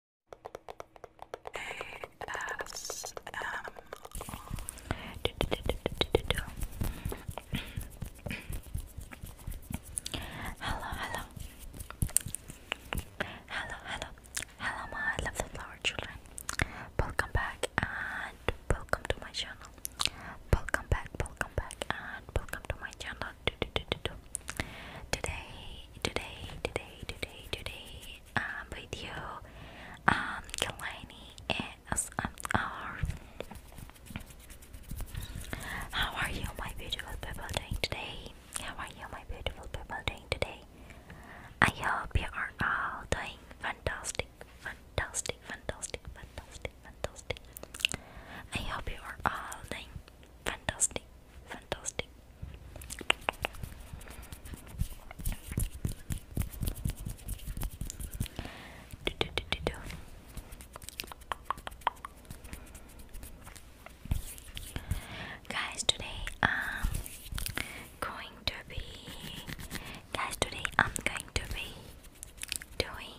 Hello, hello. Hello, hello. Hello, my lovely flower children. Welcome back and welcome to my channel. Welcome back, welcome back and welcome to my channel. Today, today, today, today, today, um, video, um, Kalani ASMR. Um, how are you, my beautiful people, doing today? How are you, my beautiful people, doing today? I hope you are all doing fantastic, fantastic, fantastic, fantastic, fantastic. I hope you are all doing fantastic, fantastic. Guys, today I'm going to be. Guys, today I'm going to be doing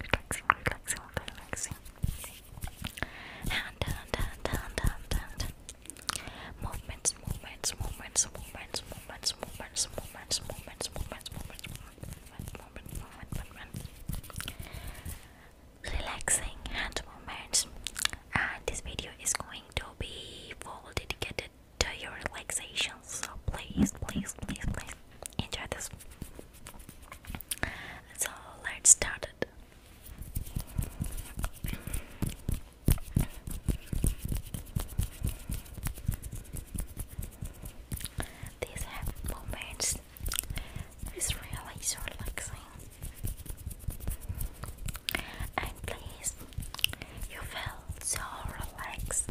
relaxing, relaxing, relaxing. Hand, hand, hand, hand, hand, hand. Movements, movements, movements, movements, movements, movements, movements, movements, movements, movements, movements, movements, movements, relaxing hand movements. And this video is going to be full dedicated to your relaxation. So please, please, please, please enjoy this. So let's start it. These happy is really relaxing. And please, you feel so relaxed.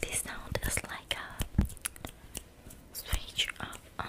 This sound is like switch up um.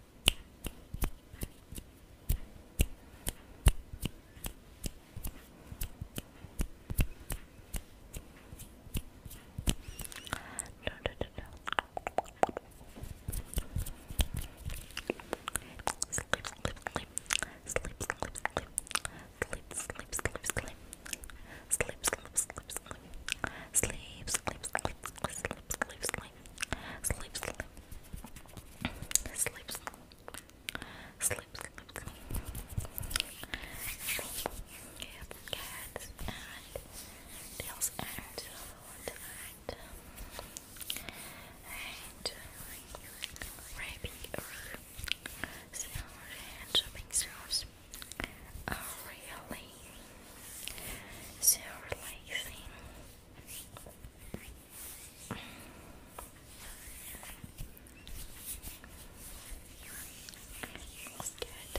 No, no, no, no. Sleep, sleep, sleep. Sleep, sleep, sleep. Sleep, sleep, sleep, sleep. Sleep, sleep, sleep, sleep. Sleep, sleep, sleep, sleep sleep, sleep, sleep, sleep, sleep, sleep, sleep, sleep. Yep, cats and tails and and and wrapping or sound and shopping stores. Oh, really? So relaxing. Looks good.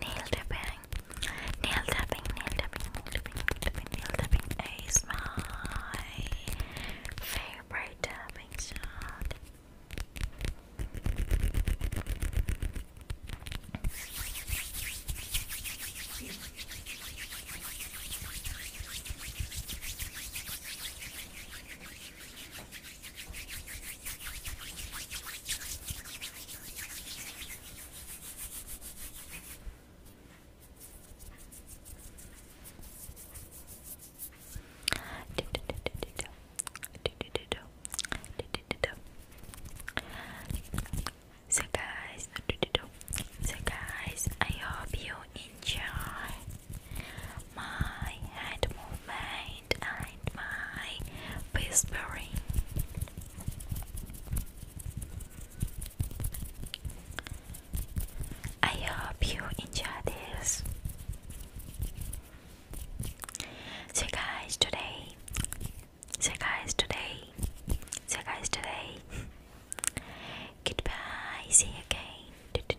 Nail tapping, nail tapping, nail tapping, nail tapping, nail is my favorite tapping sound. So guys, so guys, I hope you enjoy my hand movement and my whispering. I hope you enjoy this. So guys today, so guys today, so guys today. Goodbye, see you again.